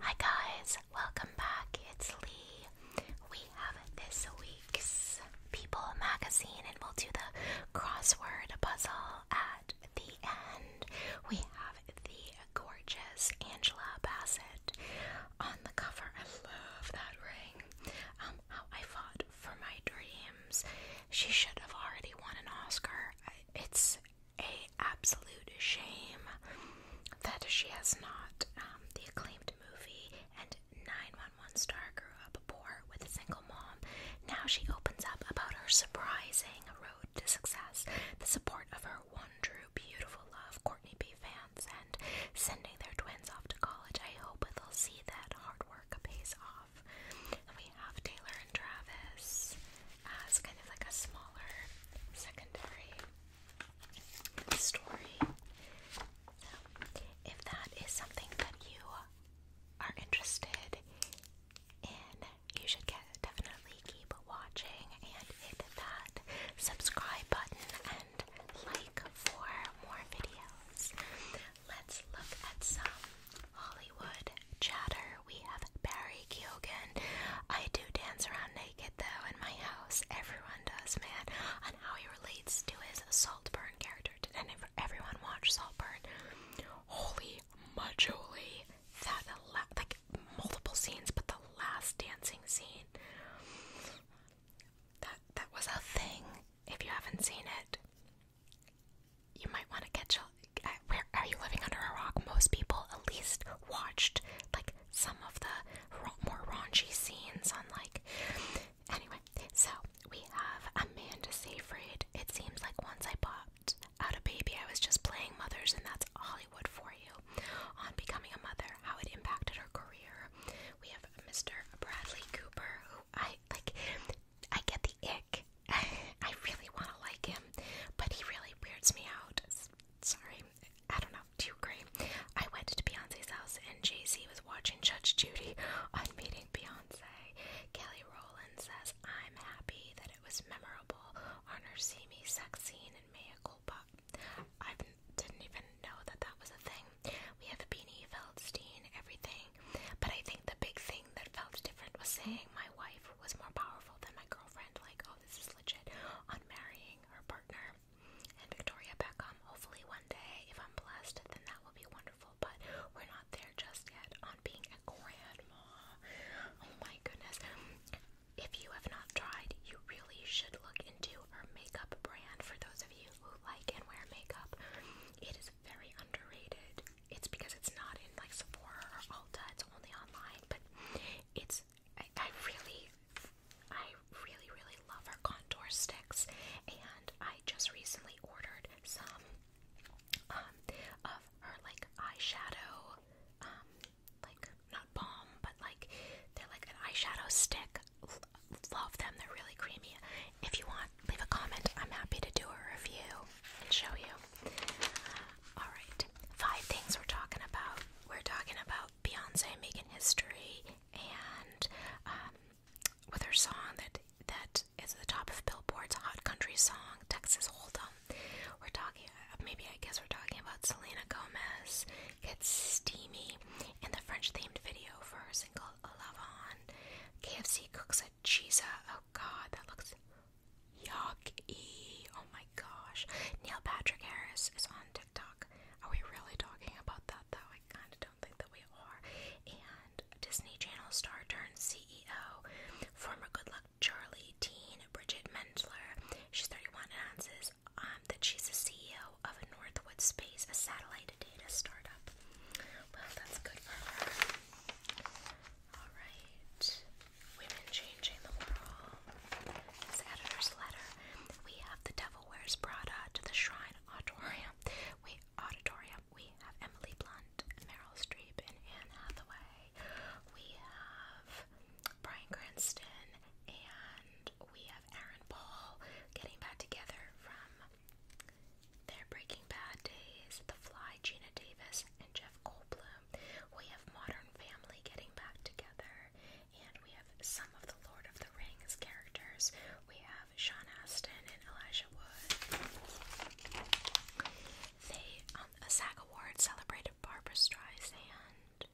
Hi guys, welcome back. It's Lee. We have this week's People magazine and we'll do the crossword puzzle at the end. We have the gorgeous Angela Bassett on the cover. I love that ring. Um, I fought for my dreams. She should have already won an Oscar. It's a absolute shame that she has not um, the acclaimed movie and 911 star grew up poor with a single mom. Now she opens up about her surprising road to success, the support of her one true beautiful love, Courtney B. Vance, and sending their twins off to college. I hope they'll see that hard work pays off. we have Taylor and Travis as kind of like a smaller secondary story. if that is something that you are interested in, you should get, definitely keep watching and hit that subscribe button and like for more videos. Let's look at some Hollywood chatter. We have Barry Q I do dance around naked though in my house. Everyone does, man. And how he relates to his Saltburn character. Did everyone watch Saltburn? Holy majoli. That like multiple scenes, but the last dancing scene. That that was a thing. If you haven't seen it, you might want to catch up. Where are you living under a rock? Most people at least watched like some of the more raunchy scenes on like anyway so we have Amanda Seyfried it seems like once I popped out a baby I was just playing mothers and that's Hollywood for you on becoming a mother how it impacted her career we have Mr. Bradley Cooper who I like I get the ick I really want to like him but he really weirds me out sorry I don't know, do you agree? I went to Beyonce's house and Jay-Z was watching Judge Judy on Meeting Beyonce. Kelly Rowland says, I'm happy that it was memorable on her See sex scene in Maya Culpa. I didn't even know that that was a thing. We have Beanie Feldstein, everything. But I think the big thing that felt different was saying my wife was more powerful than my girlfriend. Like, oh, this is legit. On Marrying her partner and Victoria Beckham. Hopefully, one day, if I'm blessed, then that will be wonderful. But we're not there just yet on being a grandma. Oh my goodness. If you have not tried, you really should look into her makeup brand for those of you who like and wear makeup. It is very underrated. It's because it's not in like Sephora or Ulta, it's only online, but it's I, really, I really, really love her contour sticks, and I just recently ordered some um, of her like eyeshadow, um, like not balm, but like they're like an eyeshadow stick. love them; they're really creamy. If you want, leave a comment. I'm happy to do a review and show you. All right, five things we're talking about. We're talking about about Beyonce making history and um, with her song that that is the top of Billboard's hot country song Texas Hold'em. We're talking maybe I guess we're talking about Selena Gomez gets steamy in the French themed video for her single Love On. KFC cooks a cheesa. Oh god, that looks yucky. Oh my gosh. Neil Patrick Harris is on TikTok. Are we really talking about that though? I kind of don't think that we are. And Disney Channel star turned CEO, former Good Luck Charlie teen Bridget Mendler. She's 31 and announces um, that she's the CEO of Northwood Space, a satellite data startup. Well, that's good for her. All right. Women Changing the World. This editor's letter. We have The Devil Wears Prada to the Shrine Auditorium. We, auditorium. we have Emily Blunt, Meryl Streep, and Anne Hathaway. We have Brian Cranston, and we have Aaron Paul getting back together from their Breaking Bad days. The Fly, Gina Davis, and Jeff Goldblum. We have Modern Family getting back together, and we have some of the Lord of the Rings characters. We have Sean Astin and Elijah Wood. They, on um, a SAG award, celebrated Barbara Streisand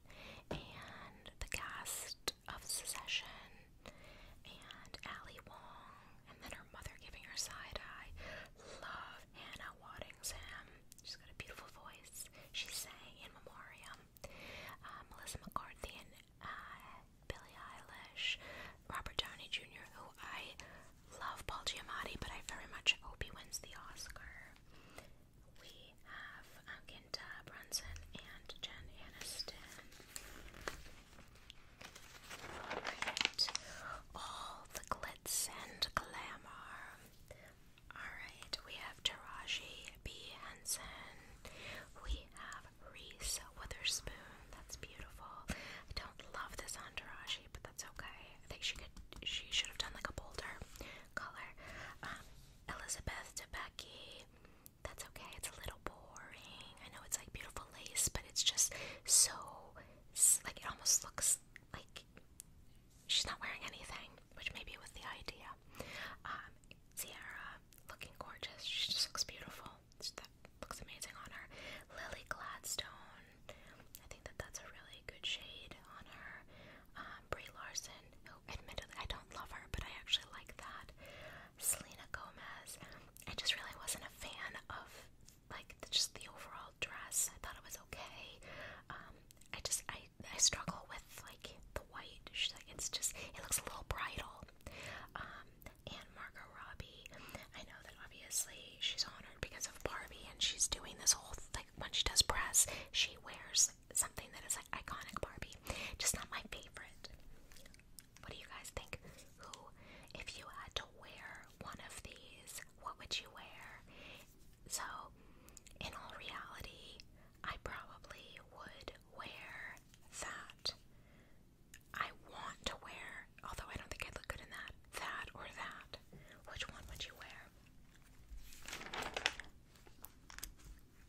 and the cast of Secession and Ali Wong, and then her mother giving her side eye. Love Anna Hannah Waddingham. She's got a beautiful voice. She sang in memoriam. Uh, Melissa McCarthy, and uh, Billie Eilish, Robert Downey Jr., who I love Paul Giamatti, but I very much hope he wins the Oscar. We have uh, Brunson and Jen Aniston. all the glitz and glamour. Alright, we have Taraji B. Henson. We have Reese Witherspoon. That's beautiful. I don't love this on Taraji, but that's okay. I think she could she should have done like a bolder color. Um, Elizabeth Debicki. That's okay. It's a little boring. I know it's like beautiful lace, but it's just so like it almost looks like she's not wearing anything, which maybe was the idea. Sierra, um, looking gorgeous. She just looks beautiful. looks amazing on her. Lily Gladstone, I think that that's a really good shade on her. Um, Brie Larson, who admittedly I don't love her, but I actually like that. Selena Gomez, I just really wasn't a fan of like the, just the overall dress. I thought it was okay. Um, I just I I struggle with like the white. She's like it's just it looks a little bridal. Um, and Margot Robbie, I know that obviously she's honored because of Barbie, and she's doing this whole like when she does press, she wears something that is like iconic Barbie. Just not my favorite. What do you guys think? Who, if you had to wear one of these, what would you wear? So, in all reality, I probably would wear that. I want to wear, although I don't think I'd look good in that, that or that. Which one would you wear?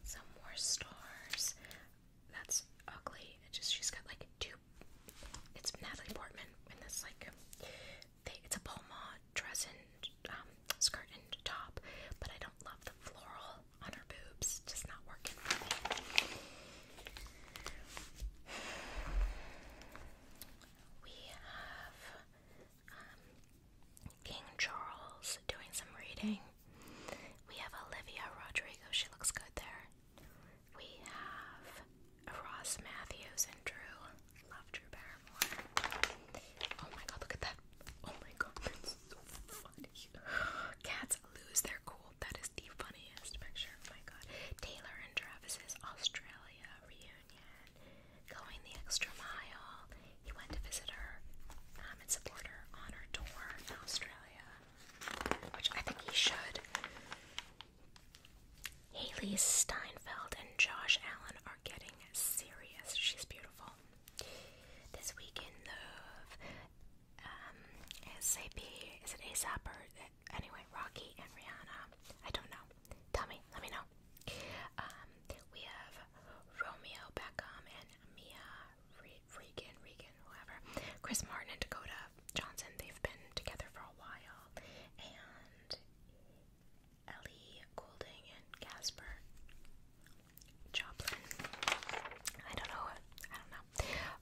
Some more stars. That's ugly. It just she's got like two. It's Natalie Portman in this like. it's a Paul dress and um, skirt and top, but I don't love the floral on her boobs. Just not working for me. We have um, King Charles doing some reading. We have Olivia Rodrigo. She looks good there. We have Ross Matthews and Drew. Love Drew Barrymore. Oh my god, look at that Oh my god, that's so funny. Cats lose their cool. That is the funniest picture. Oh my god. Taylor and Travis's Australia reunion. Going the extra mile. He went to visit her um, and support her on her tour in Australia. Which I think he should. Haley Steinfeld and Josh Allen are getting serious. She's beautiful. This weekend in Love, um, is it ASAP or anyway, Rocky and Rihanna? I don't know. Tell me, let me know. Um, we have Romeo Beckham and Mia Re Regan, Regan, whoever. Chris Martin and Dakota Johnson, they've been together for a while. And Ellie Goulding and Casper Joplin. I don't know. I don't know.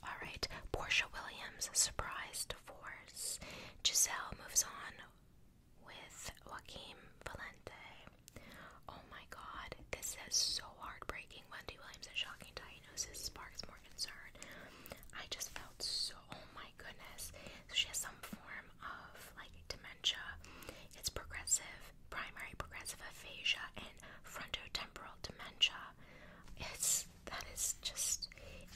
All right. Portia Williams, surprise divorce. Giselle moves on with Joaquim Valente. Oh my God, this is so heartbreaking. Wendy Williams and Shocking Diagnosis sparks more concern. I just felt so. Oh my goodness. she has some form of like dementia. It's progressive, primary progressive aphasia, and frontotemporal dementia. It's that is just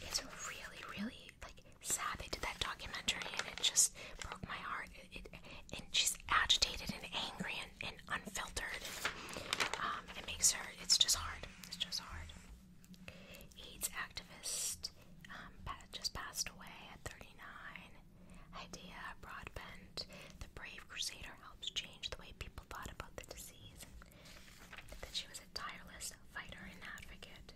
it's really really like sad. They did that documentary, and it just broke my heart. It, it, and she's agitated and angry and, and unfiltered. Um, it makes her. It's just hard. It's just hard. AIDS activist um, just passed away at 39. Idea Broadbent, the brave crusader, helps change the way people thought about the disease, that she was a tireless fighter and advocate.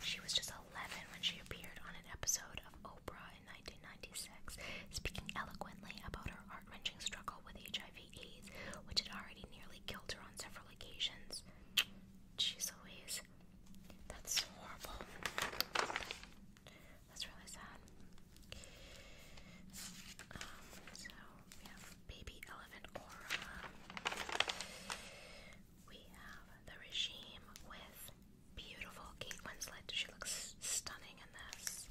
She was just 11 when she appeared on an episode of Oprah in 1996, speaking eloquently about her heart wrenching struggle with HIV/AIDS, which had already nearly killed her on several occasions. She's always that's that's horrible. That's really sad. Um, so Baby Elephant Aura. We have the regime with beautiful Kate Winslet. She looks stunning in this.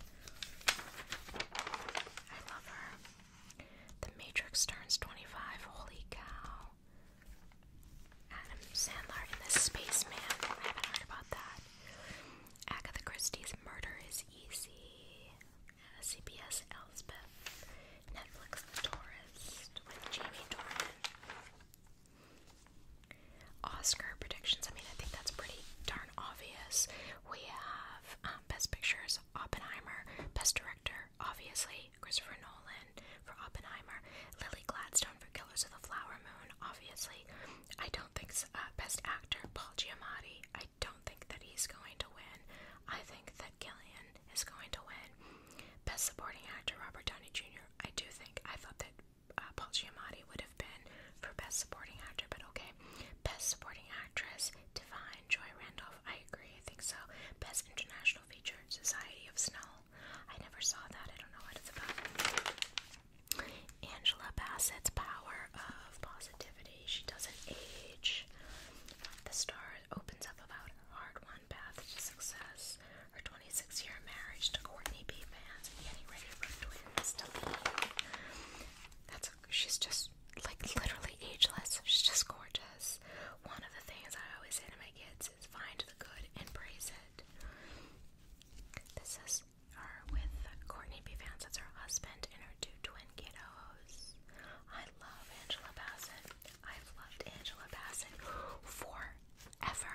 I love her. The Matrix turns 25. Holy cow. Adam Sandler in The Spaceman. I haven't heard about that. Agatha Christie's Murder is Easy. CBS Elspeth. Netflix The Tourist with Jamie Dornan. Oscar predictions. I mean, I think that's pretty darn obvious. We have um, Best Pictures, Oppenheimer, Best Director, obviously, Christopher Nolan for Oppenheimer, Lily Gladstone for Killers of the Flower Moon, obviously. I don't think uh, Best Actor, Paul Giamatti, I don't think that he's going to win. I think that Gillian is going to win. Best Supporting Actor, Robert Downey Jr., I do think, I thought that uh, Paul Giamatti would have been for Best Supporting Actor, but okay. Best Supporting Actress, Divine, Joy Randolph, I agree, I think so. Best International Feature, Society of Snow, I never saw that. I don't know what it's about. Angela Bassett's power of positivity. She doesn't age. The star opens up about hard won path to success. Her 26 year marriage to Courtney B. Vance and getting ready for twins to leave. That's a, she's just like literally ageless. She's just gorgeous. One of the things I always say to my kids find the good and praise it. This is with Courtney B. Vance. her husband and her two twin kiddos. I love Angela Bassett. I've loved Angela Bassett forever.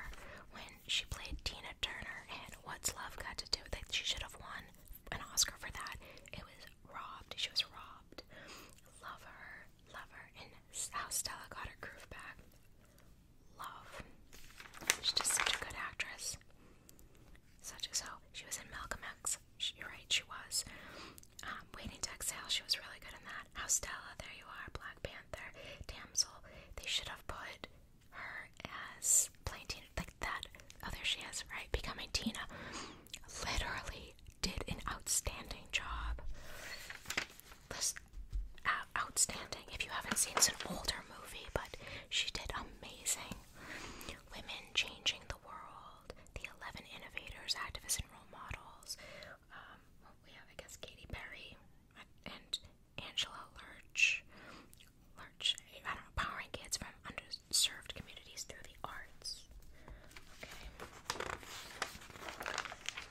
When she played Tina Turner in What's Love Got to Do, with It, she should have won an Oscar for that. It was robbed. She was robbed. Love her. Love her how Stella got her groove back. Love. She's just such a good actress. Such as so. She was in Malcolm X. you're right, she was. Um, Waiting to Exhale, she was really good in that. How Stella, there you are. Black Panther, Damsel. They should have put her as playing Tina. Like that. Oh, there she is, right? Becoming Tina. Literally did an outstanding job. This, uh, outstanding. If you haven't seen, it's an older movie, but she did amazing. Women changing the world. The eleven innovators, activists, and role models. Um, we have, I guess, Katy Perry and Angela Lurch. Lurch, I don't know, powering kids from underserved communities through the arts. Okay.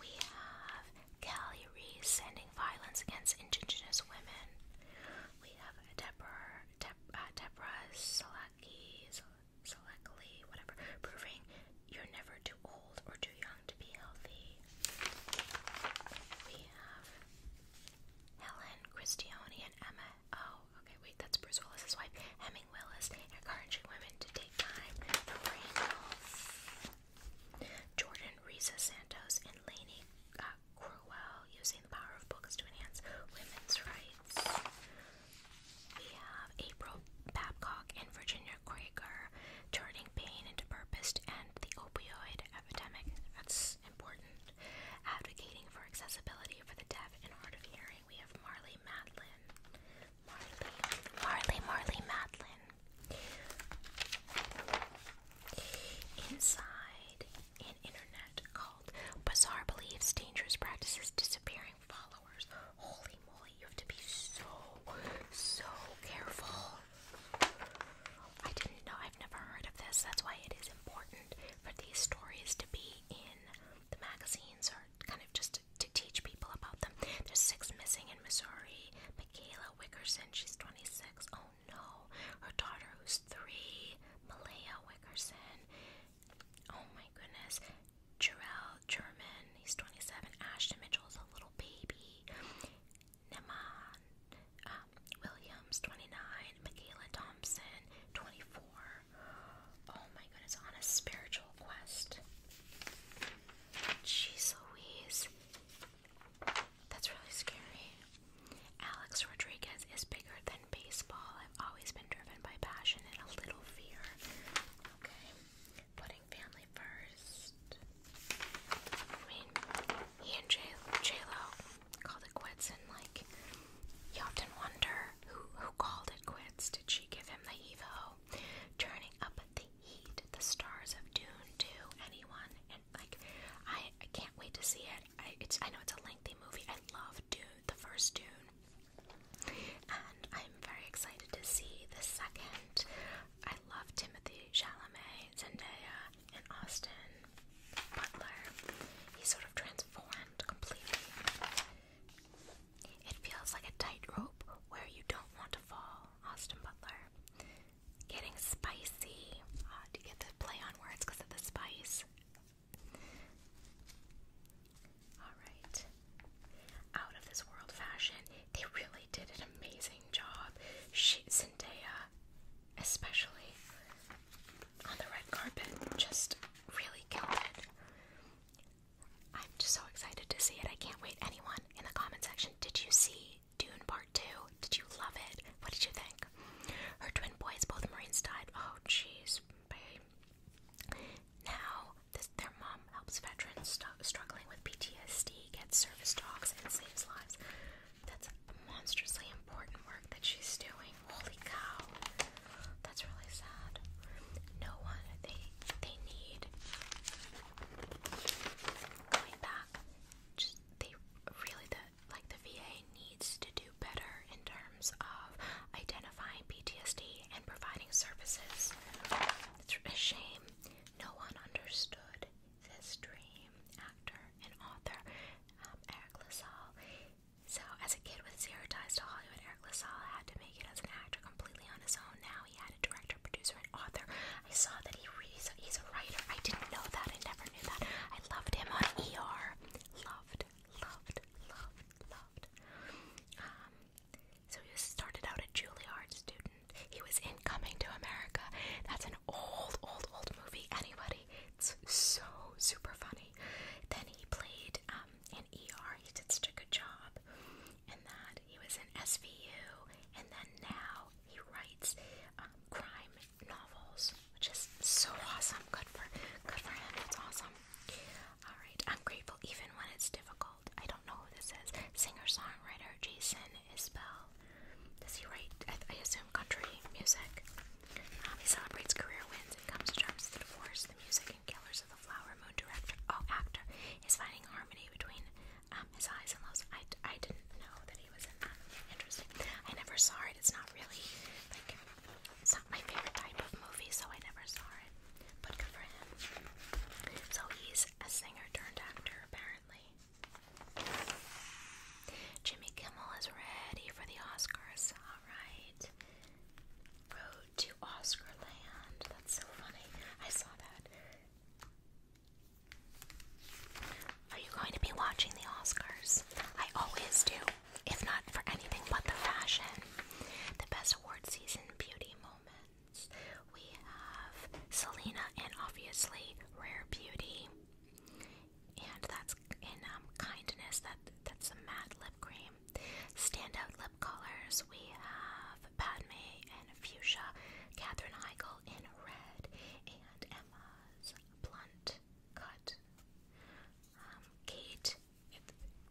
We have Kelly Reese sending violence against indigenous women. We have Debra Deb, uh, Deborah whatever, proving you're never too old or too young to be healthy. We have Helen Christiani and Emma. Oh, okay, wait, that's Bruce Willis's wife, Hemming Willis, encouraging women to take time Jordan, Risa Santos, and Lainey uh, Crowell using the power of books to enhance women's rights. We have April Babcock and Virginia Krieger turning pain into purpose and the opioid epidemic. That's important. Advocating for accessibility for the deaf and hard of hearing. We have Marley Matlin. Marley, Marley, Marley Madeline. Inside an internet called Bizarre Beliefs, Dangerous Practices, Disappearing Followers. Holy moly, you have to be so, so careful. I didn't know, I've never heard of this. That's why it is important for these stories to be in the magazines or kind of just to teach people about them. There's six missing in Missouri. Michaela Wickerson. She's 26. Oh no, her daughter who's three. Malaya Wickerson. Oh my goodness. Jarrell German. He's 27. Ashton is a little baby. Neman um, Williams, 29. Michaela Thompson, 24. Oh my goodness, on a spiritual quest. Jeez Louise. That's really scary. Alex Rodriguez is bigger than baseball. I've always been driven by passion and a little fear. Okay. Putting family first. I mean, he and J Lo called it quits, and like, you often wonder who who called it quits. Did she give him the Evo? turning up the heat, the stars of Dune do anyone, and like I, I can't wait to see it. I it's I know it's a lengthy movie. I love Dune, the first Dune, and I'm very excited to see the second. I love Timothy Chalamet, Zendaya, and Austin Butler. He's sort of transformed completely. It feels like a tightrope where you don't want to fall, Austin Butler. Getting spicy. Ah, do you get to play on words because of the spice? Alright. Out of this world fashion. They really did an amazing job. Zendaya, especially on the red carpet, just really killed it. I'm just so excited to see it. I can't wait. Anyone in the comment section, did you see movie Dune Part 2. Did you love it? What did you think? Her twin boys, both Marines, died. Oh, jeez, Now, their mom helps veterans struggling with PTSD get service dogs and saves lives. That's monstrously important work that she's doing. Holy cow. That's really sad. No one, they, they need Going back, just they really the like the VA needs to do better in terms of identifying PTSD and providing services. It's a shame no one understood this dream actor and author um, Eric LaSalle. So, as a kid with zero ties to Hollywood, Eric LaSalle had to make it as an actor completely on his own. Now he had a director, producer, and author I saw that he reads. He's a writer. I didn't know that. I never knew that. I loved him on ER. Loved, loved, loved, loved. Um, so he started out a Juilliard student. He was in Coming to America. That's an old, old, old movie. Anybody? It's so super funny. Then he played um, in ER. He did such a good job and that he was in SVU, and then now he writes um, crime novels, which is so awesome. Good for good for him. That's awesome. All right, I'm grateful even when it's difficult. I don't know who this is. Singer songwriter Jason Isbell. Does he write? I, assume country music. Um, he celebrates career wins and comes to terms with the divorce, the music, and Killers of the Flower Moon director, oh actor, is finding harmony between um, his eyes and those. I, I didn't know that he was in that. Interesting. I never saw it. It's not really like it's not my favorite type of movie, so I never saw it. But good for him. So he's a singer turned actor, apparently. Jimmy Kimmel is ready for the Oscars. All right. Road to Oscar That's so funny. I saw that. Are you going to be watching the Oscars? I always do, if not for anything but the fashion. The best award season beauty moments. We have Selena and obviously Rare Beauty. And that's in um, Kindness, that that's a matte lip cream. Standout lip colors, we have Padme in fuchsia, Catherine Heigl in red, and Emma's blunt cut. Um, Kate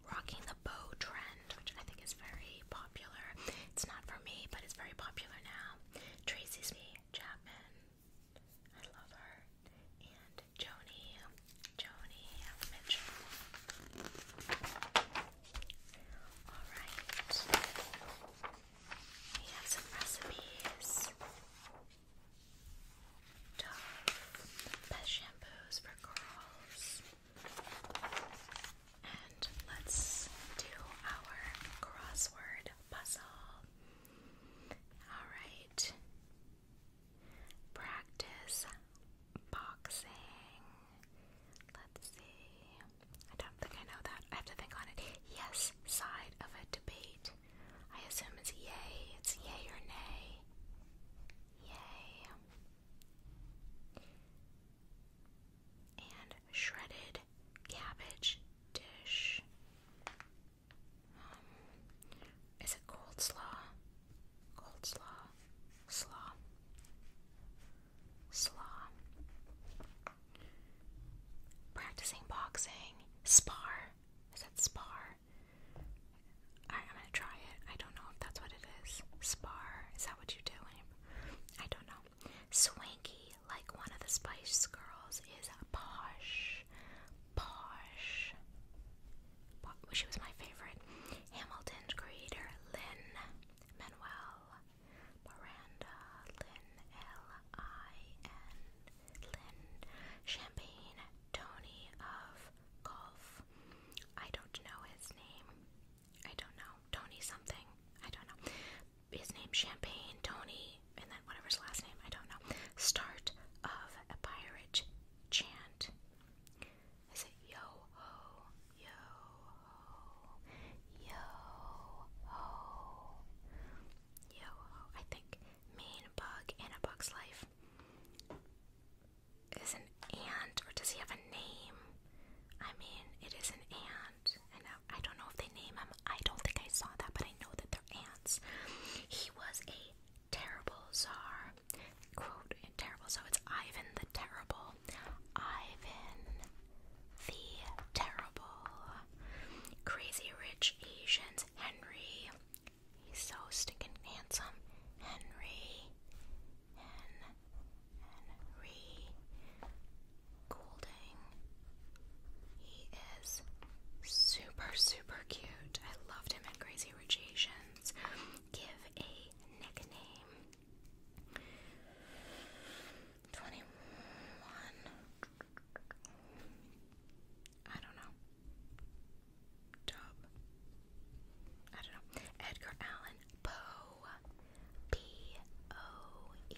rocking the bow trend, which I think is very popular. It's not for me, but it's very popular now. Tracy's me, Chapman. I love her. And Joni, Joni Mitchell. All right. We have some recipes. Dove shampoos for girls. And let's do our crossword puzzle. Alright. Practice boxing. Let's see. I don't think I know that. I have to think on it. Yes side of a debate. I assume it's yay. It's yay or nay. Yay. And shredded cabbage dish. Um, is it cold slaw? Cold slaw. Slaw. Slaw. Practicing boxing. Spar. Is that spar? I'm gonna try it. I don't know if that's what it is. Spar. Is that what you do? I don't know. Swanky, like one of the Spice Girls, is posh. Posh. She was my favorite. Hamilton's creator, Lynn Manuel Miranda, Lynn, L-I-N, Lynn, Champagne, Tony of Golf. I don't know his name. I don't know. Tony something. I don't know. His name Champagne, Tony, and then whatever his last name, I don't know. Start of a pirate chant. Is it yo ho, yo yo yo I think main bug in a bug's life is an ant, or does he have a name? I mean, it is an ant, and I don't know if they name him. I don't think I saw that, but I know that they're ants. He was a terrible czar. Quote, terrible, so it's Ivan the Terrible. Ivan the terrible crazy rich Asians, Henry. He's so stinking handsome, Henry. Henry Golding. He is super, super cute. I loved him in Crazy Rich Asians. Give a nickname. 21. I don't know. Job. I don't know. Edgar Allan Poe. P O E.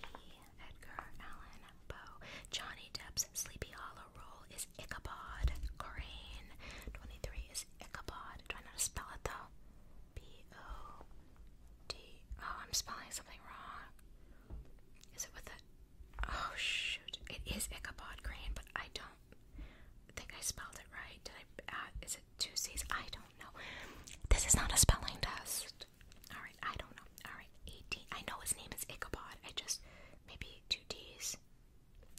Edgar Allan Poe. Johnny Depp's Sleepy Hollow role is Ichabod Crane. 23 is Ichabod. Try not spell it though. B O D. Oh, I'm spelling something wrong. Is it with a? Oh shoot! It is Ichabod Crane, but I don't think I spelled it right. Did I? Uh, is it two C's? I don't know. This is not a spelling test. All right, I don't know. All right, eighteen. I know his name is Ichabod. I just maybe two D's.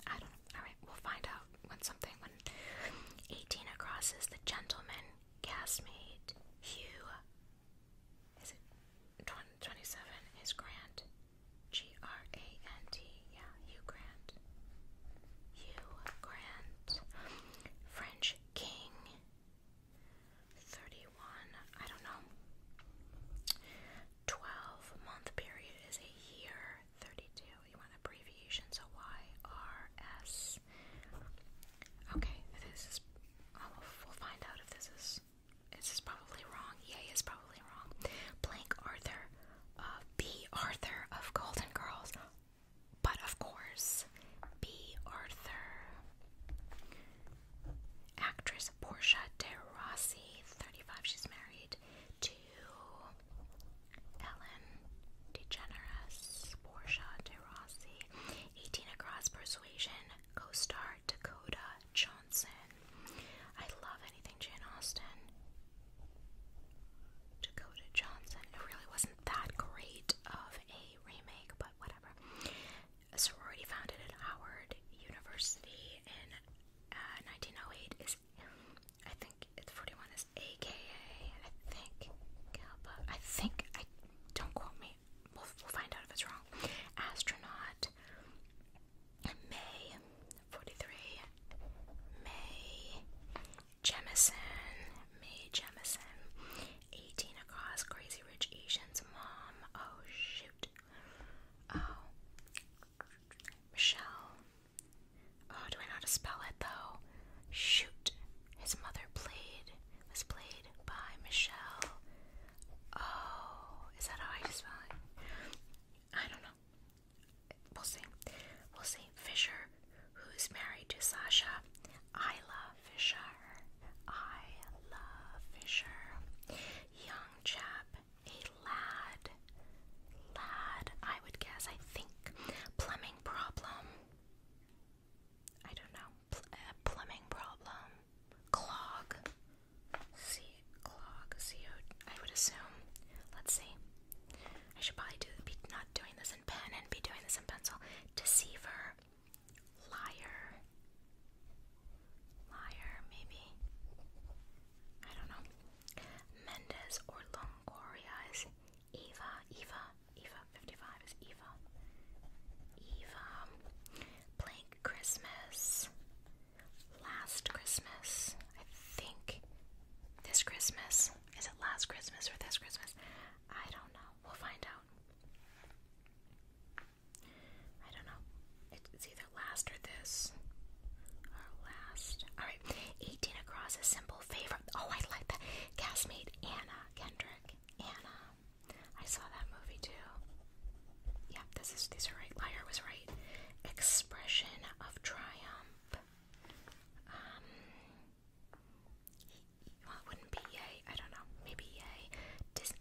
I don't know. All right, we'll find out when something when across is the gentleman castmate Hugh is it 27 is Grant? G R A N T. Yeah, Hugh Grant. Hugh Grant. French King. 31. I don't know. 12 month period is a year. 32. You want abbreviation, so Y R S. Okay, this is. Oh, we'll find out if this is. This is probably wrong. Yay is probably wrong. Blank Arthur. Uh, B. Arthur of Golden Girls. But of course, B. Arthur. Actress Portia de Rossi, 35. She's married to Ellen DeGeneres. Portia de Rossi. 18 Across Persuasion, co-star Dakota Johnson. I love anything Jane Austen. Dakota Johnson. It really wasn't that great of a remake, but whatever. A sorority founded at Howard University in 1908 uh, is, I think, 41 is AKA, I think, Kappa. I think, don't quote me, we'll, find out if it's wrong. Astronaut, May 43, May Jemison, May Jemison, 18 across, Crazy Rich Asians, Mom, oh shoot, oh, Michelle, oh, do I know to spell it though? Shoot, his mother played was played by Michelle. Oh, is that how I spell it? I don't know. We'll see. We'll see. Fisher, who's married to Sasha. I love Fisher. I love Fisher. Young chap, a lad. Lad, I would guess, I think. Plumbing problem. I don't know. Uh, plumbing problem, clog, C clog, C o. I would assume. Let's see. I should probably do be not doing this in pen and be doing this in pencil. Deceiver, liar, liar. Maybe I don't know. Mendez or Longoria is Eva. Eva. Eva, 55 is Eva. Eva, Blank Christmas, Last Christmas, I think this Christmas. Is it last Christmas or this Christmas? I don't know. We'll find out. I don't know. It's either last or this. Or last. Alright. 18 across a simple favor. Oh, I like that. Castmate Anna Kendrick. Anna. I saw that movie too. Yep, this is these are right. Liar was right. Expression of triumph. Um, well, it wouldn't be yay. I don't know. Maybe yay.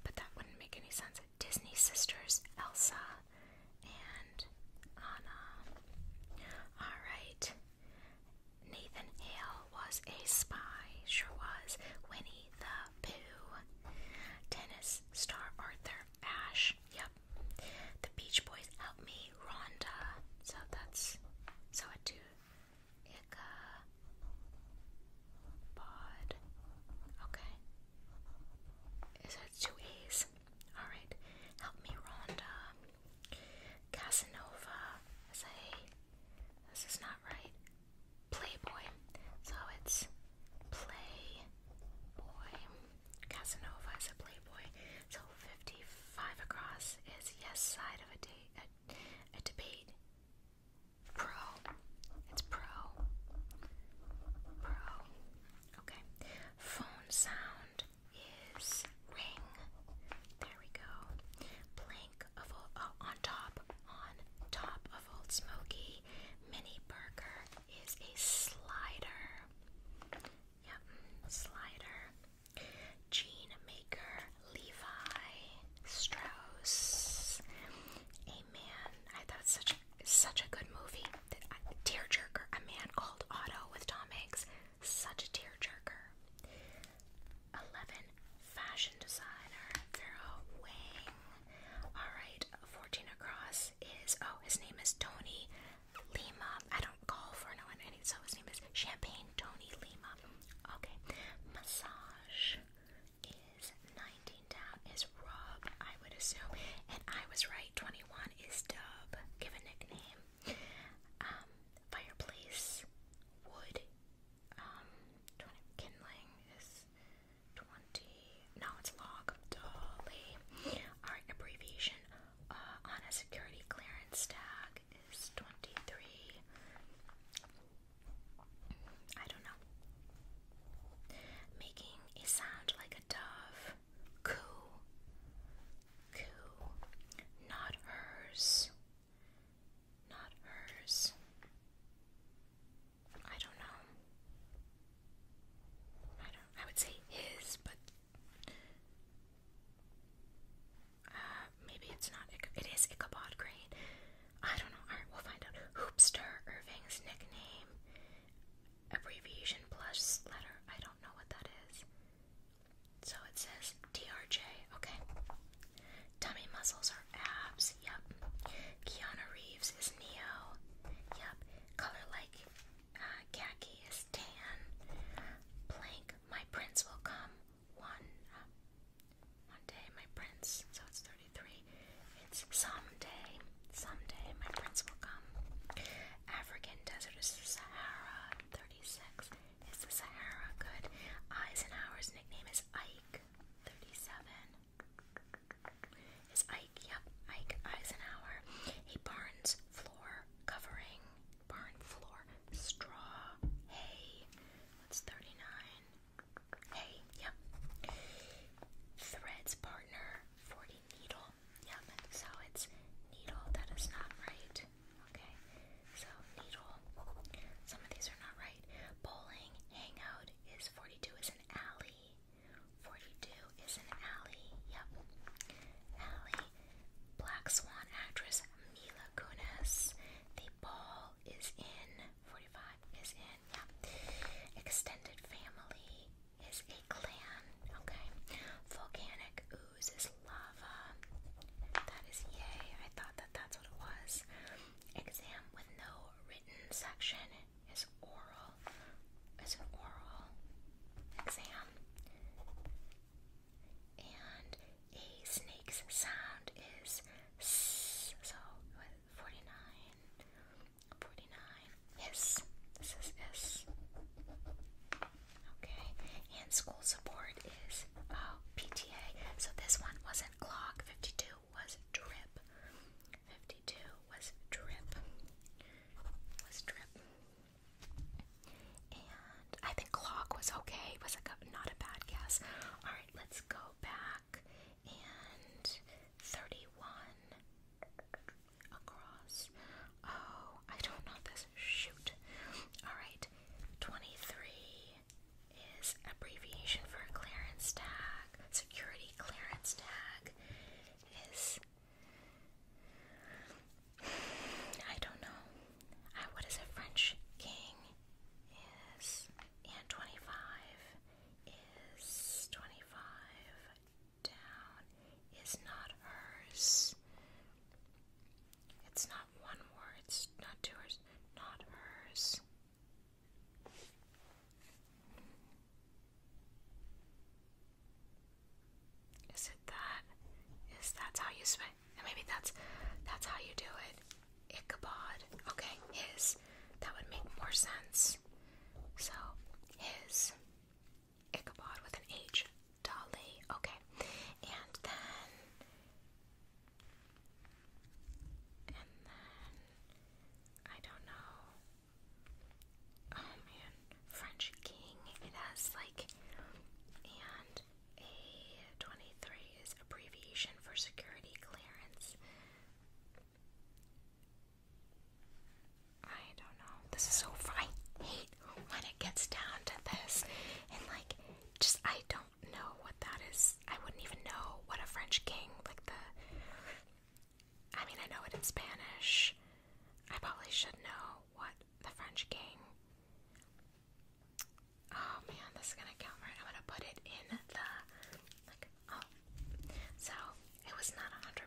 but that wouldn't make any sense. Disney sisters Elsa and Anna. All right. Nathan Hale was a spy, sure was. Winnie the Pooh. Tennis star Arthur Ashe, yep. The Beach Boys help me, Rhonda. So that's so I do Ica Bod. Okay. Is it two A's? Alright. Help me, Rhonda. Casanova. Say, this is not right? Playboy. So it's Playboy. Casanova is a Playboy. So 55 across is yes side of a, debate. Pro. It's pro. Pro. Okay. Phone sound is ring. There we go. Plane uh, on top on top of Old Smoky Mini Burger is a slider. Yep, slider. Jean Maker Levi Strauss. A man. I thought such such a good movie. tearjerker. A man called Otto with Tom Hanks. Such a tearjerker. Eleven, fashion designer Pharaoh Wang. All right, fourteen across is oh, his name is Tony Lima. I don't call for no one, so his name is Champagne Tony Lima. Okay, massage is nineteen down is Rob, I would assume, and I was right. Twenty-one is Dub. Give a nickname. Um, fireplace, wood, um, kindling is 20, no, it's log, dolly. Our abbreviation uh, on a security clearance tag is 23. I don't know. Making a sound like a dove. Coo. Coo. Not hers. Not hers. I don't know. I don't. I would say his, but uh, maybe it's not. It is Ichabod Crane. I don't know. All we'll find out. Hoopster Irving's nickname, abbreviation plus letter. I don't know what that is. So it says DRJ. Okay. Tummy muscles are abs. Yep. Keanu Reeves is Neo. Yep. Color like uh, is tan. Blank. My prince will come one uh, one day. My prince. So it's thirty three. It's someday. Someday my prince will come. African desert is Sahara. Thirty six. Is the Sahara good? Eisenhower's nickname is Ike. 37 is Ike, yep, Ike Eisenhower. A barn's floor covering, barn floor, straw, hay. That's 39. Hay, yep. Threads partner, 40 needle. Yep, so it's needle. That is not right. Okay, so needle. Some of these are not right. Bowling, hangout, is 42 is an alley. 42 is an alley. Yep. Alley. Black Swan actress Mila Kunis. The ball is in. 45 is in. Yep. Extended family is a clan. Okay. Volcanic ooze is lava. That is yay. I thought that that's what it was. Exam with no written section is oral. Is an oral exam. And a snake's sound is s. So forty nine. Forty nine. Hiss. This is hiss. Okay. And school support is oh, uh, PTA. So this one wasn't clock fifty two was drip. Fifty-two was drip. Was drip. And I think clock was okay. was a, not a bad guess. All right, let's go back and thirty-one across. Oh, I don't know this. Shoot. All right, twenty-three is abbreviation for a clearance tag. Security clearance tag is. I don't know. Uh, what is a French king? Is and twenty five is twenty five down is not hers. It's not one word. It's not two words. Not hers. Is it that? Is that how you spell? Maybe that's that's how you do it. Ichabod. Okay, his. That would make more sense. So his Ichabod with an H. Dolly. Okay, and then and then I don't know. Oh man, French King. It has like and A23 is abbreviation for security clearance. I don't know. This is so fun. when it gets down to this. And like just I don't know what that is. I wouldn't even know what a French king, like the. I mean, I know it in Spanish. I probably should know what the French king. Oh man, this is gonna count right. I'm gonna put it in the. Like, oh. So, it was not 100%,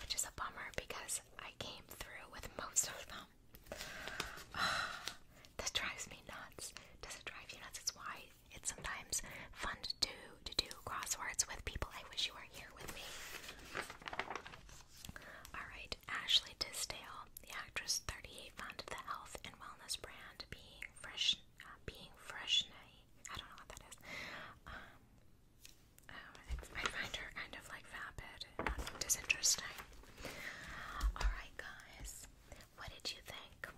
which is a bummer because I came through with most of them. this drives me nuts. Does it drive you nuts? It's why it's sometimes fun to do to do crosswords with people. I wish you were here with me. Alright, Ashley Tisdale, the actress 38, founded the health and wellness brand Being Fresh uh, Being Fresh Night. I don't know what that is. Um, oh, I find her kind of like vapid disinteresting. Alright, guys, what did you think?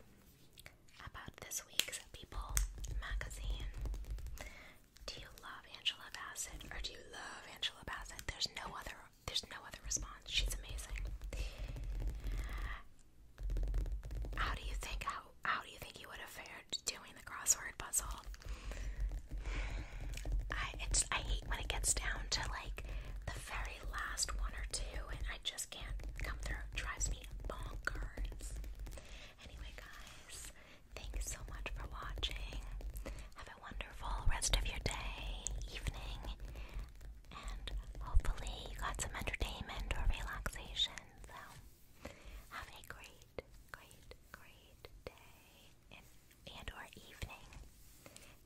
about this week's People magazine. Do you love Angela Bassett or do you love Angela Bassett? There's no other there's no other response. She's amazing. How do you think how how do you think you would have fared doing the crossword puzzle? I it's I hate when it gets down to like the very last one or two and I just can't come through. drives me bonkers. Anyway, guys, thanks so much for watching. Have a wonderful rest of your day, evening, and hopefully you got some entertainment or relaxation. So have a great, great, great day and or evening.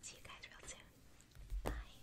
See you guys real soon. Bye.